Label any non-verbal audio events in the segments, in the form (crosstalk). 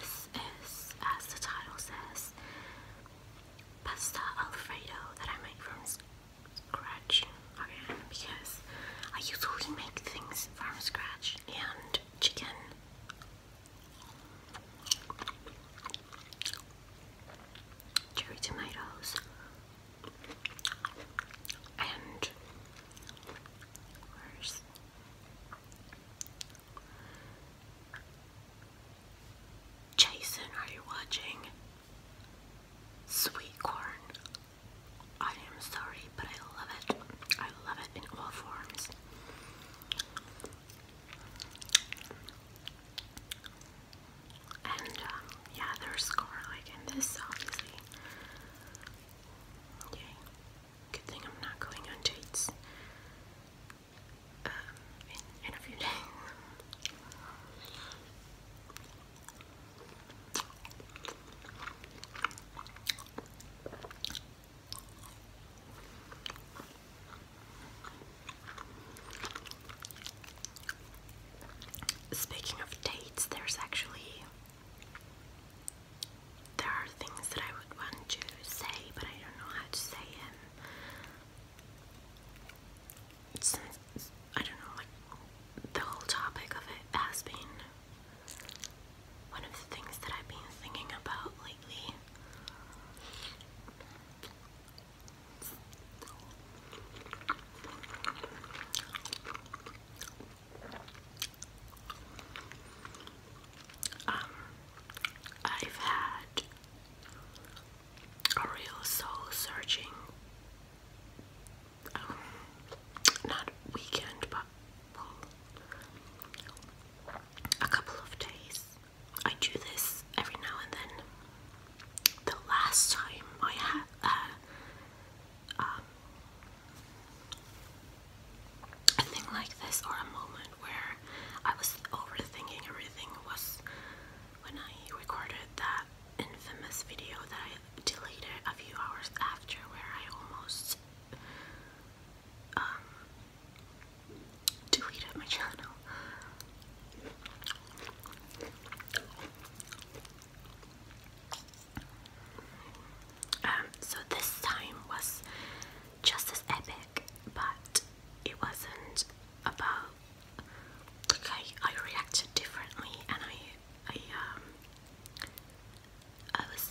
This is, as the title says, pasta alfredo that I make from scratch again because I usually make things from scratch and chicken. Cherry tomatoes, Jason? Are you watching? Sweet corn. I am sorry, but I love it. I love it in all forms. And um, yeah, there's garlic in this, obviously. Okay. Good thing I'm not going on dates um, in a few days. Speaking of dates, there's actually there are things that I would want to say, but I don't know how to say them. I don't know, the whole topic of it has been one of the things that I've been thinking about lately. Um, I've had a real soul searching, um, not weekend, but a couple of days. I do this every now and then. The last time I had uh, um, a thing like this or a moment where I was overthinking everything was when I recorded that infamous video that I deleted a few hours after where I almost um, deleted my channel. Um, so this time was just as epic, but it wasn't about like I, reacted differently, and I, I, um, I was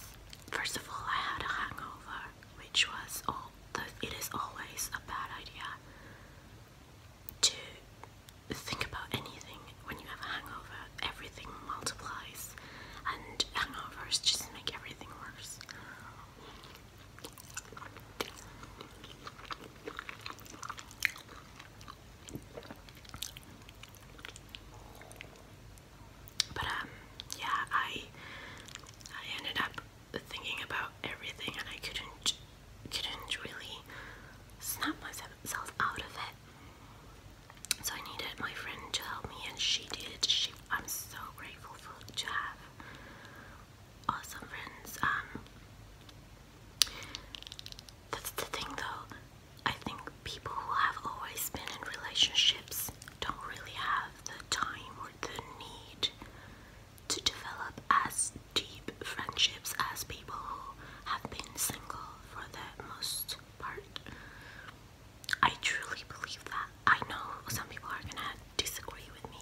first of all I had a hangover, which was all. The, it is always a bad idea to think about anything when you have a hangover, everything multiplies, and hangovers just make everything worse. But um, yeah, I I ended up thinking about everything, and I couldn't couldn't really snap myself out of it. So I needed my friend to help me, and she did. She, I'm so grateful for to have awesome friends. Um, that's the thing, though. I think people who have always been in relationships don't really have the time or the need to develop as deep friendships as people who have been single for the most part. I truly believe that. I know some people are gonna disagree with me,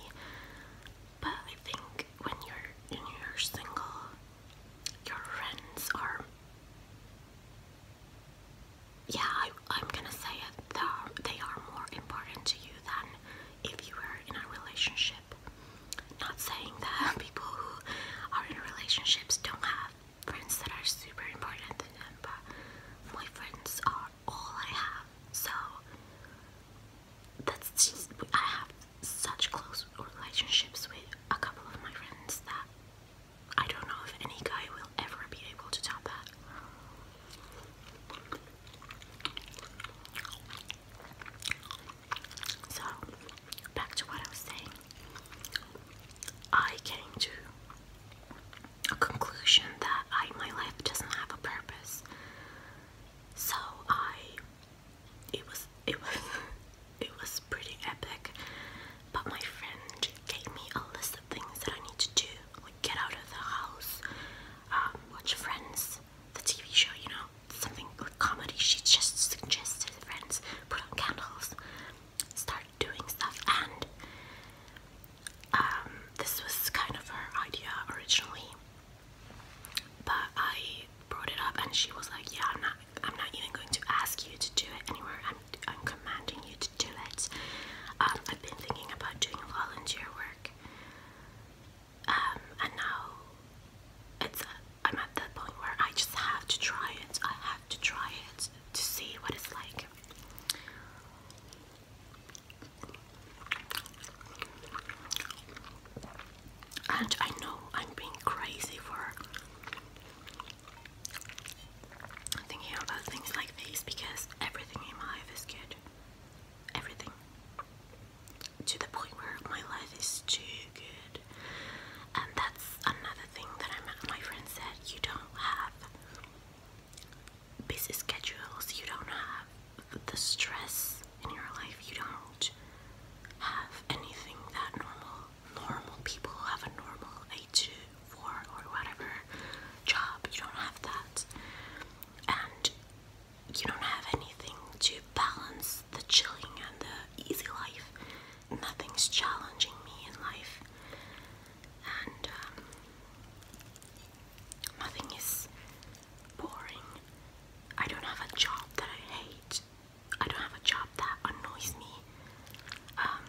but I think when you're when you're single, your friends are. Yeah, I, am gonna say it. They are more important to you than if you were in a relationship. Not saying that (laughs) people who are in relationships don't have friends that are super important to them, but my friends are all I have. So that's just I have such close relationships with a couple of my friends that I don't know if any guy will ever be able to top that. So, back to what I was saying. I came to a conclusion that I my life doesn't have a purpose. So I it was it was (laughs) it was pretty epic. But my friend gave me a list of things that I need to do, like get out of the house, um, watch Friends, the TV show, you know, something comedy she just suggested friends put on candles start doing stuff and um, this was kind of her idea originally but I brought it up and she was like yeah I'm not I'm not even going to ask you to do it anymore. I'm, commanding you to do it um, I've been thinking about doing volunteer work um, and now it's I'm at that point where I just have to try it. I have to try it to see what it's like. And I know I'm being crazy for thinking about things like these because everything in my life is good. Everything. To the point where my life is too good and that's another thing that my friend said you don't have busy schedules, you don't have the stress in your life, you don't have anything that normal, normal people have a normal 8 to 4 or whatever job, you don't have that. And you don't have anything to balance the chilling and the easy life nothing's challenging me in life, and um, nothing is boring. I don't have a job that I hate. I don't have a job that annoys me. Um,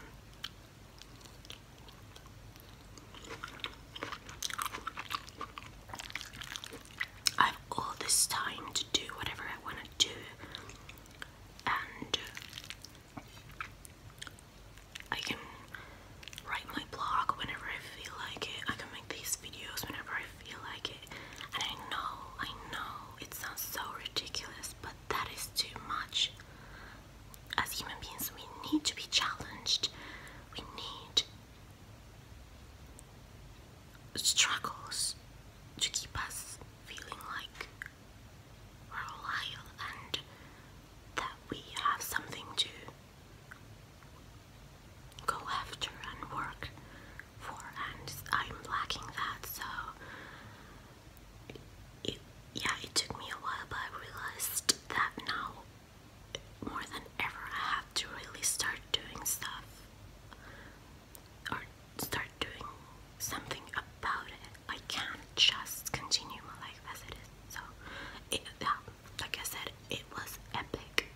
I have all this time to do whatever I want to do and I can write my blog whenever I feel like it. I can make these videos whenever I feel like it. And I know, I know it sounds so ridiculous, but that is too much. As human beings, we need to be challenged. We need struggles to keep us feeling like we're loyal and that we have something to go after and work for, and I'm lacking that. So, yeah, it took me a while, but I realized that now more than ever, I have to really start doing stuff or start doing something about it. I can't just continue my life as it is. So, like I said, it was epic,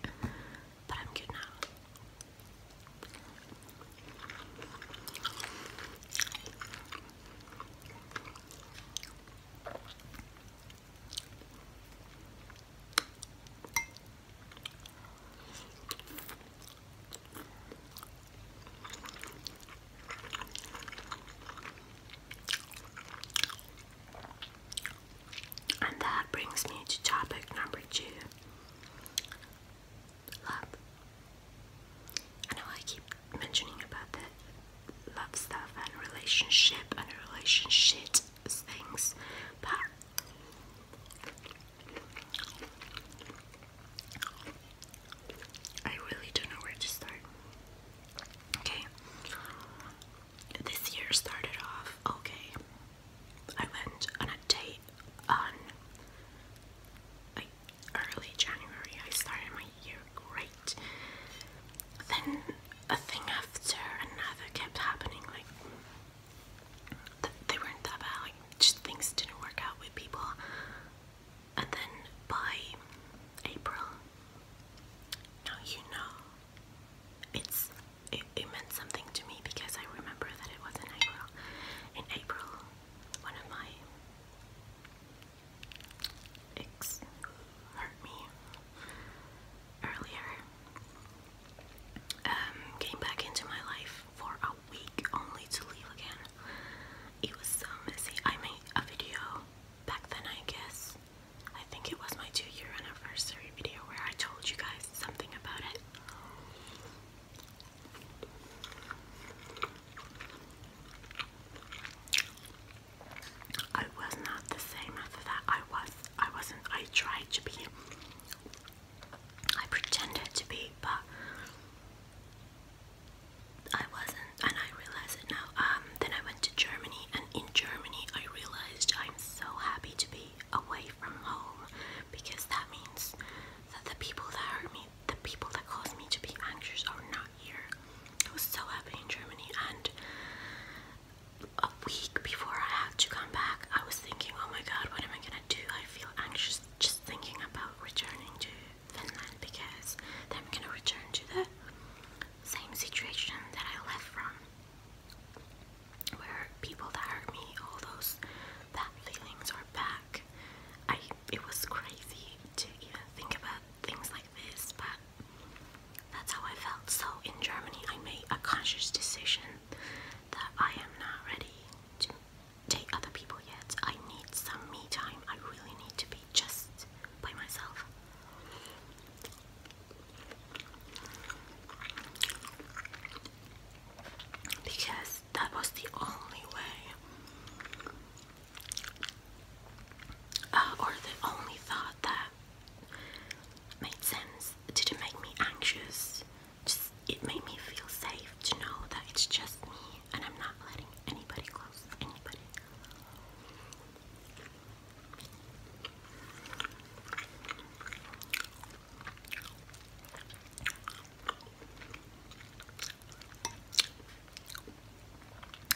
but I'm good now. And that brings me to topic number two love. I know I keep mentioning about the love stuff and relationship and relationship things, but I really don't know where to start. Okay. This year started off okay. I went on a date on early January. I started my year great. Then a thing after another kept happening like they weren't that bad. just things didn't work out with people, and then by April, now you know, it's it, meant something to me because I remember that it was in April. In April, one of my ex hurt me earlier um, came back into my life for week only to leave again. It was so messy. I made a video back then, I guess. I think it was my two year anniversary video where I told you guys something about it. I was not the same after that. I was I wasn't I tried to be I pretended to be, but I wasn't, and I realize it now. Um, then I went to Germany, and in Germany, I realized I'm so happy to be away from home because that means that the people that hurt me, the people that caused me to be anxious, are not here. I was so happy in Germany, and a week before I had to come back, I was thinking, oh my god, what am I gonna do? I feel anxious just thinking about returning to Finland because I'm gonna return to the same situation that I left from where people that hurt me, all those bad feelings are back. I it was crazy to even think about things like this, but that's how I felt. So in Germany I made a conscious decision that I am not ready to date other people yet. I need some me time. I really need to be just by myself. Because that was the only way, uh, or the only thought that made sense. didn't make me anxious just it made me feel safe to know that it's just me and I'm not letting anybody close anybody.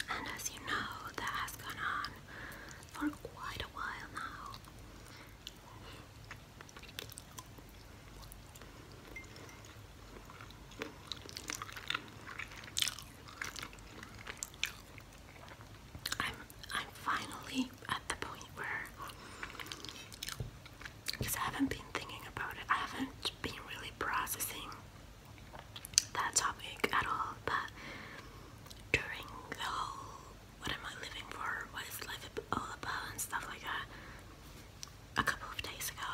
And as you know, that has gone on for quite a while now. I'm I'm finally at the point where I haven't been thinking about it. I haven't been really processing that topic at all. But during the whole what am I living for? What is life all about and stuff like that? a couple of days ago,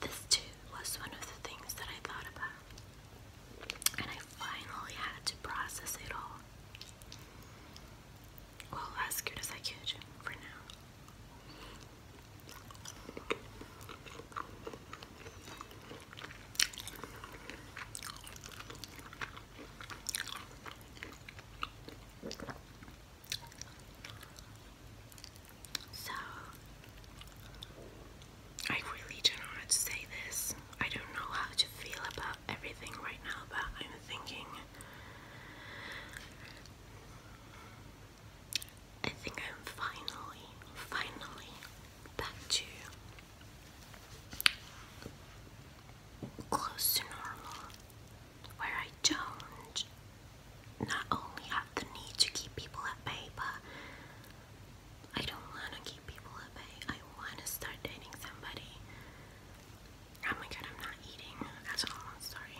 this too was one of the things that I thought about. And I finally had to process it all. Well, as good as I could for now. So, I really don't know how to say this. I don't know how to feel about everything right now, but I'm thinking. I think I'm finally, finally back to close to normal where I don't not only have the need to keep people at bay, but I don't want to keep people at bay. I want to start dating somebody. Oh my god, I'm not eating at all. sorry.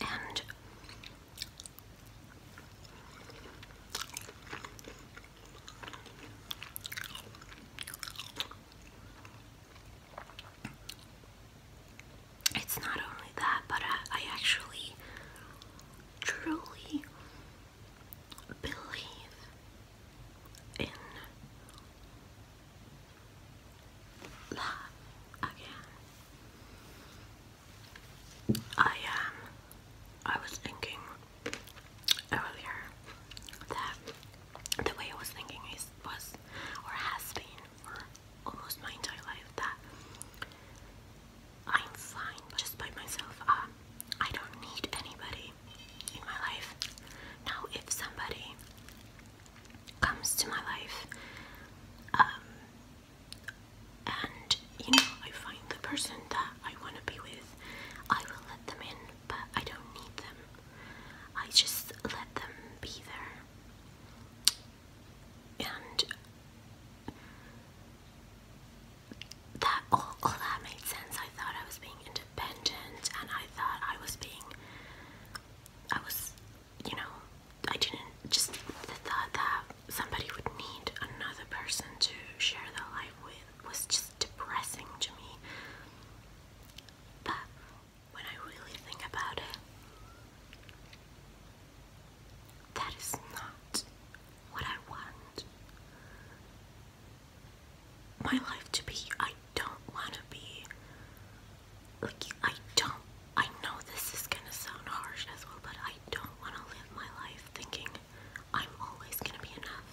And it's not only that, but I, actually truly believe in love again. I am. Um, I was thinking earlier that the way I was thinking is was or has been for almost my entire life that I'm fine just by myself. Um, I don't need anybody in my life. Now, if somebody comes to my life. Um, and you know, I find the person that I want to be with, I will let them in, but I don't need them. I just let them be there. And that all, all that made sense. I thought I was being independent independent and I thought I was being I was you know I didn't just the thought that somebody would need another person to share their life with was just depressing to me but when I really think about it that is not what I want my life to be. I don't want to be Look, I don't. I know this is gonna sound harsh as well, but I don't want to live my life thinking I'm always gonna be enough,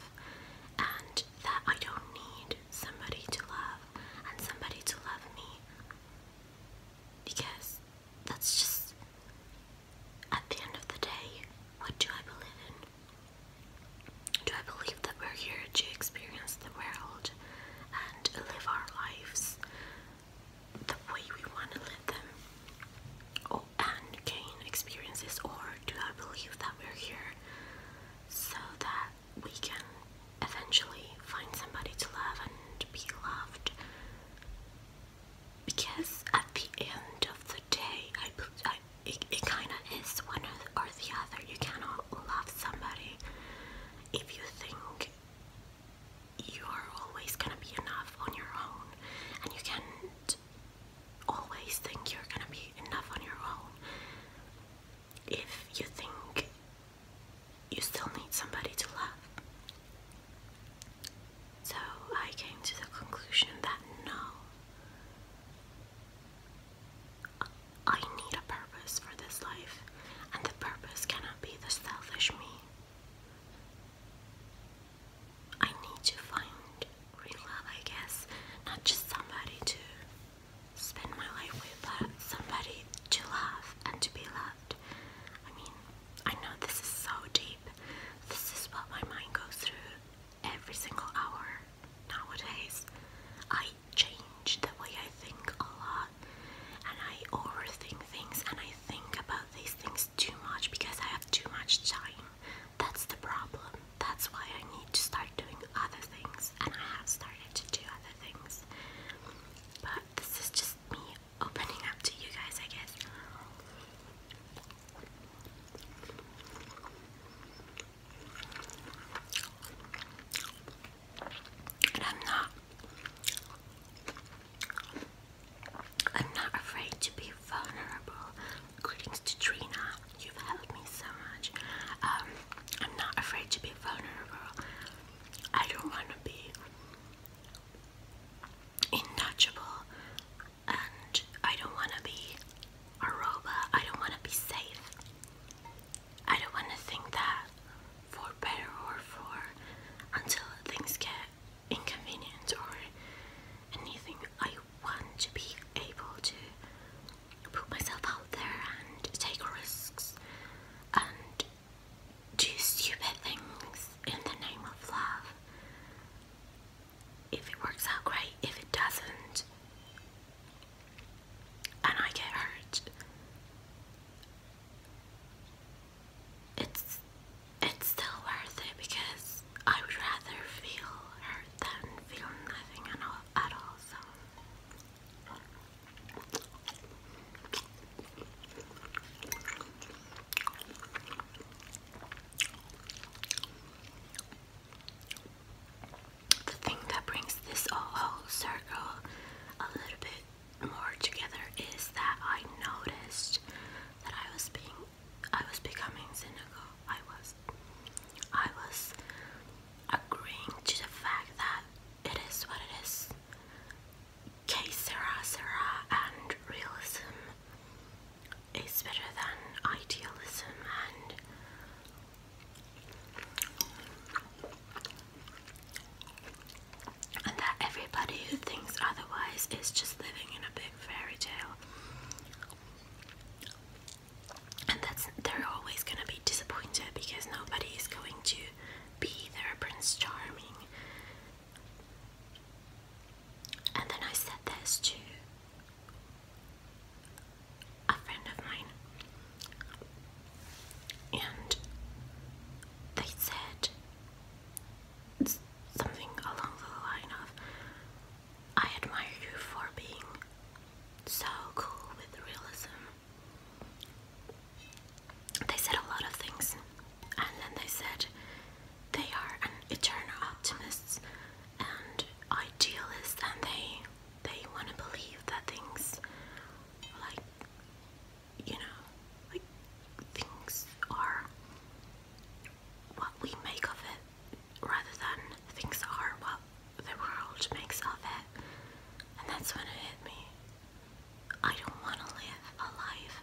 and that I don't need somebody to love and somebody to love me because that's just at the end of the day, what do I believe in? Do I believe that we're here to experience the world and live our lives the way we want to live them oh, and gain experiences? Or do I believe that we're here so that we can eventually find somebody to love and be loved? Because at the end of the day, I, I it, kind of is one or the other other. You cannot love somebody if you think you are always gonna be enough on your own, and you can't always think you're gonna be enough on your own. If you think you still need somebody to love. So I came to the conclusion that no, I need a purpose for this life, and the purpose cannot be the selfish me. I need to find real love, I guess, not just somebody to spend my life with, but somebody to love and to be loved. I mean, I know this is so deep. This is what my mind goes through every single hour nowadays. I changed the way I think a lot and I overthink things and I think about these things too much because I have too much time. That's the problem. That's why I need to start doing other things and I have started to do other things. But this is just me opening up to you guys, I guess. I'm not I'm not afraid to be vulnerable. Greetings to You've helped me so much. Um, I'm not afraid to be vulnerable. I don't want to be untouchable and I don't want to be a robot. I don't want to be safe. I don't want to think that for better or for until things get inconvenient or anything. I want to be able to put myself out there and take risks and do stupid things in the name of love. If it works out great, if it doesn't, and I get hurt. It's it's still worth it because I would rather feel hurt than feel nothing at all at all, so the thing that brings this whole circle a little bit more together is that I noticed that I was being I was becoming cynical. I was I was agreeing to the fact that it is what it is. Que sera and realism is better than idealism and and that everybody who thinks otherwise is just living in a big fairy tale. And that's they're always gonna be disappointed because nobody is going to be their Prince Charming. And then I said this to a friend of mine, and they said something along the line of, I admire you for being so cool with realism. They said a lot of things, and then they said they are an eternal optimists and idealists, and they they want to believe that things like you know like things are what we make of it rather than things are what the world makes of it and that's when it hit me I don't want to live a life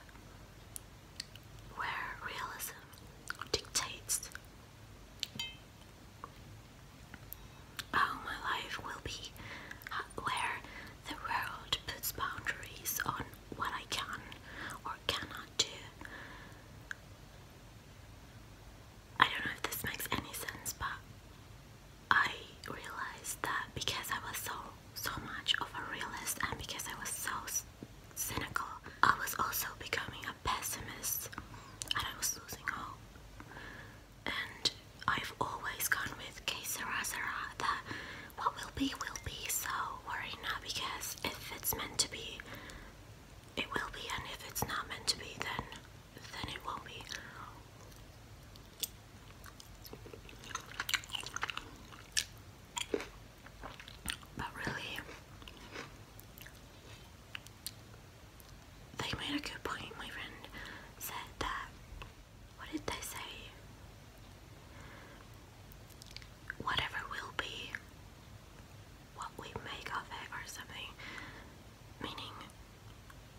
where realism dictates how my life will be where the world puts boundaries on what I can or cannot do. I don't know if this makes any sense, but I realized that because I was so so much of a realist and because I was so cynical, I was also becoming a pessimist and I was losing hope and I've always gone with que sera sera that what will be will be so worry not because if it's meant to be it will be and if it's not meant to be then then it won't be but really they made a good point. My friend said that. What did they say? Whatever will be, what we make of it, or something. Meaning,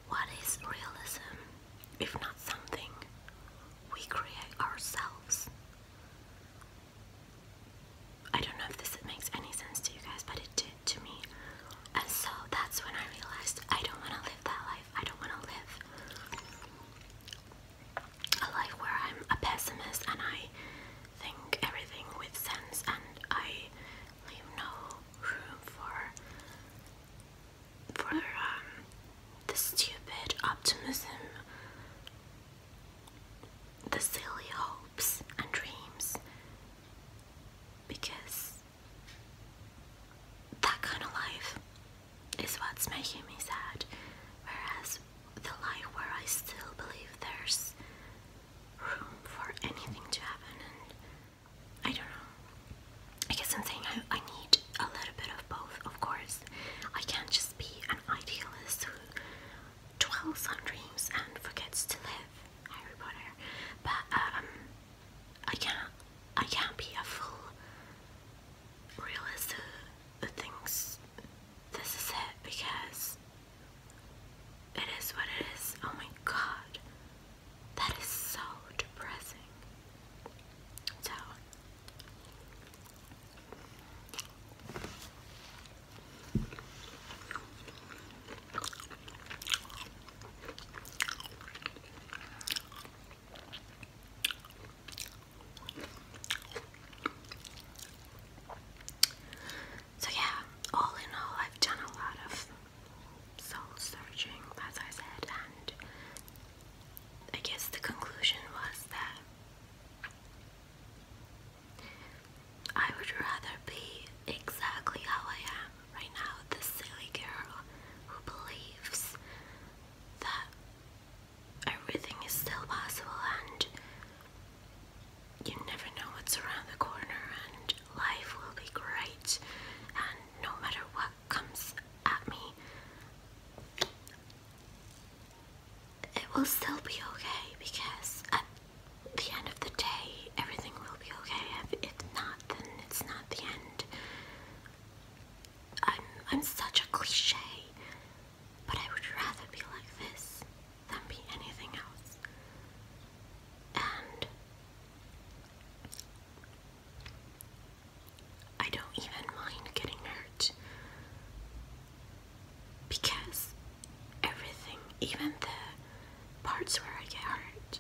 what is realism if not something we create ourselves? I don't know if this makes any sense to you guys, but it did to me. And so that's when I realized I don't want to live that life. I don't want to live a life where I'm a pessimist and I think everything with sense and I leave no room for for um, the stupid optimism, the silly hopes and dreams because that kind of life is what's making me sad. Whereas the life where I still believe there's room for anything to happen, I don't know. I guess I'm saying I need a little bit of both, of course. I can't just be an idealist who dwells on dreams and forgets to live. Harry Potter, but um, I can't, I can't be a full realist who thinks this is it because it is what it is. Oh my god, that is so depressing. So. So, yeah, all in all, I've done a lot of soul searching, as I said, and I guess the conclusion was that I would rather be exactly how I am right now, this silly girl who believes that everything is still possible and you never know what's around the corner and life will be great and no matter what comes at me it will still be okay because at the end of the day, everything will be okay. If, if not, then it's not the end. I'm I'm such a cliche, but I would rather be like this than be anything else. And I don't even mind getting hurt because everything, even the parts where I get hurt,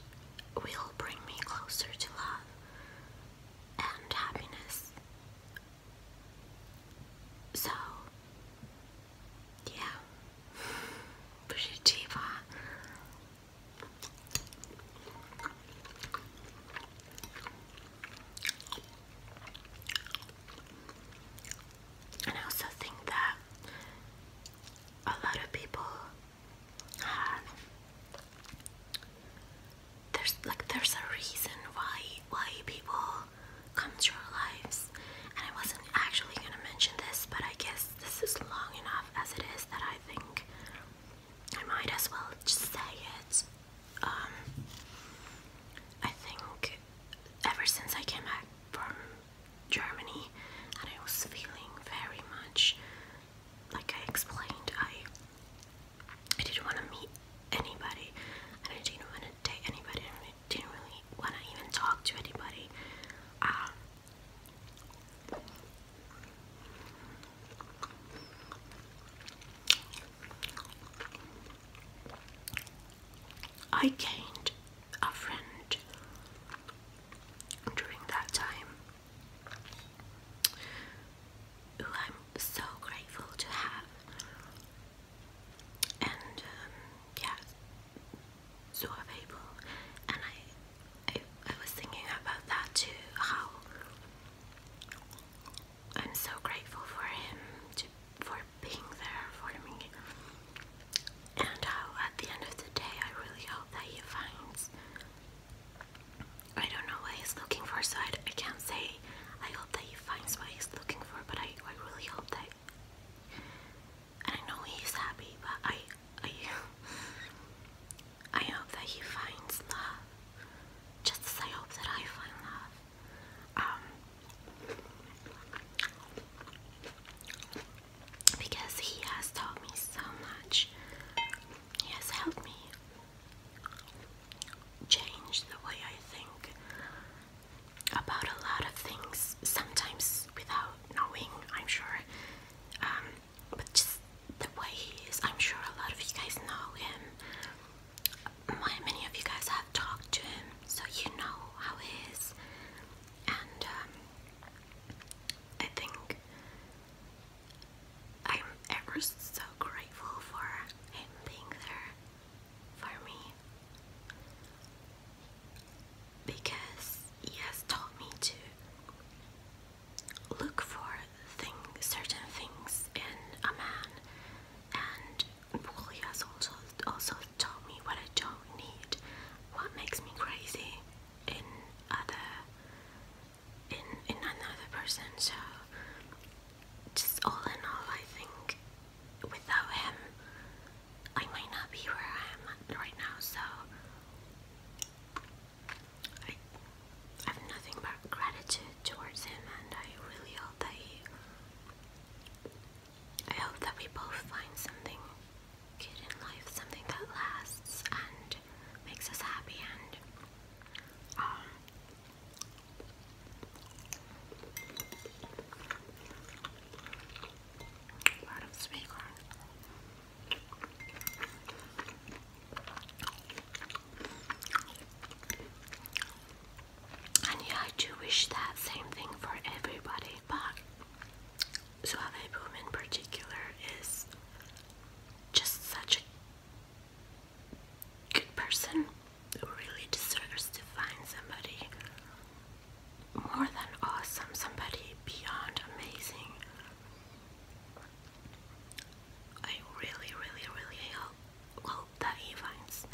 will bring me closer to love and happiness. So, yeah, pretty cheap, huh? And I also think that a lot of people there's like there's a reason why why people come to our lives and I wasn't actually gonna mention this but I guess this is long enough as it is that I think I might as well just say it. Um I think ever since I came back from Germany, and I was feeling very much like I explained. I I didn't want to meet anybody, and I didn't want to date anybody, I didn't really want to even talk to anybody. Um, I gained a friend during that time. Who I'm so grateful to have, and um, yeah, so available. And I, I, was thinking about that too. How I'm so grateful for him for being there for me and uh, at the end of the day, I really hope that he finds. I don't know what he's looking for, so I, I can't say I hope that he finds what he's looking for, but I, I really hope that. And I know he's happy, but I, I, I hope that he finds love, just as I hope that I find love. Um, because he has taught me so much. He has helped me change the way I think about a lot of things, sometimes without knowing, I'm sure. Um, but just the way he is, I'm sure a lot of you guys know him. many of you guys have talked to him, so you know how he is. And um, I think I'm ever so grateful for him being there for me because he has taught me to look for certain things in a man and he has also, also taught me what I don't need, what makes me crazy, in other in in another person so just all in all I think without him I might not be where I am right now so I have nothing but gratitude towards him and I really hope that he I hope that we both find something good in life, something that lasts and makes us happy and um a lot of sweet corn. And yeah, I do wish that same thing for everybody, but Suave Boom in particular is just such a good person who really deserves to find somebody more than awesome, somebody beyond amazing. I really, really, really hope that he finds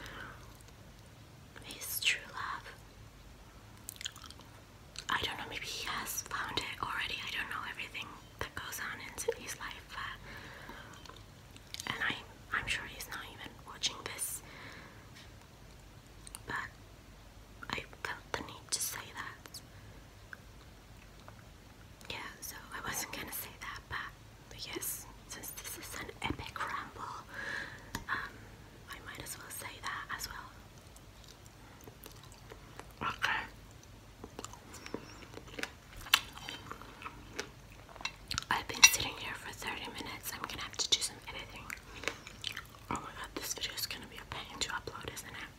his true love. I don't know, maybe he has found it already. I don't know everything that goes on in his life, and I, I'm sure he's not even watching this. But I felt the need to say that. Yeah, so I wasn't gonna say that, but yes, since this is an epic ramble, um, I might as well say that as well. Okay. I've been sitting here for 30 minutes. I'm gonna have to do some editing. Oh my god, this video is gonna be a pain to upload, isn't it?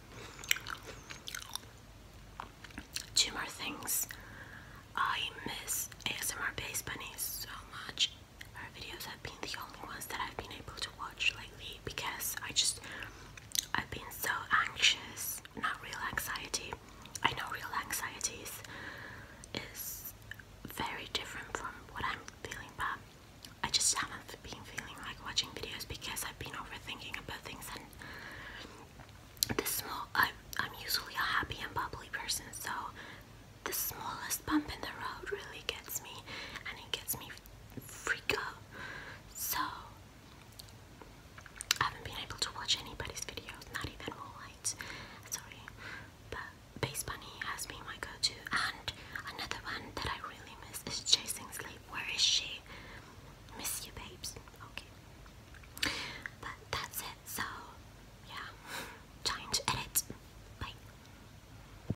Two more things. I miss ASMR Base Bunnies so much. Her videos have been the only ones that I've been able to watch lately because I just I've been so anxious. Not real anxiety. I know real anxiety is, very different from what I'm feeling, but I just haven't been feeling like watching videos because I've been overthinking about things and the small I'm usually a happy and bubbly person so the smallest bump in the road really gets me and it gets me freak out. So I haven't been able to watch anybody's videos, not even Moonlight. Sorry, but Base Bunny has been my go-to. And another one that I really miss is Chasing Sleep. Where is she? Miss you, babes. Okay, but that's it. So yeah, (laughs) time to edit. Bye.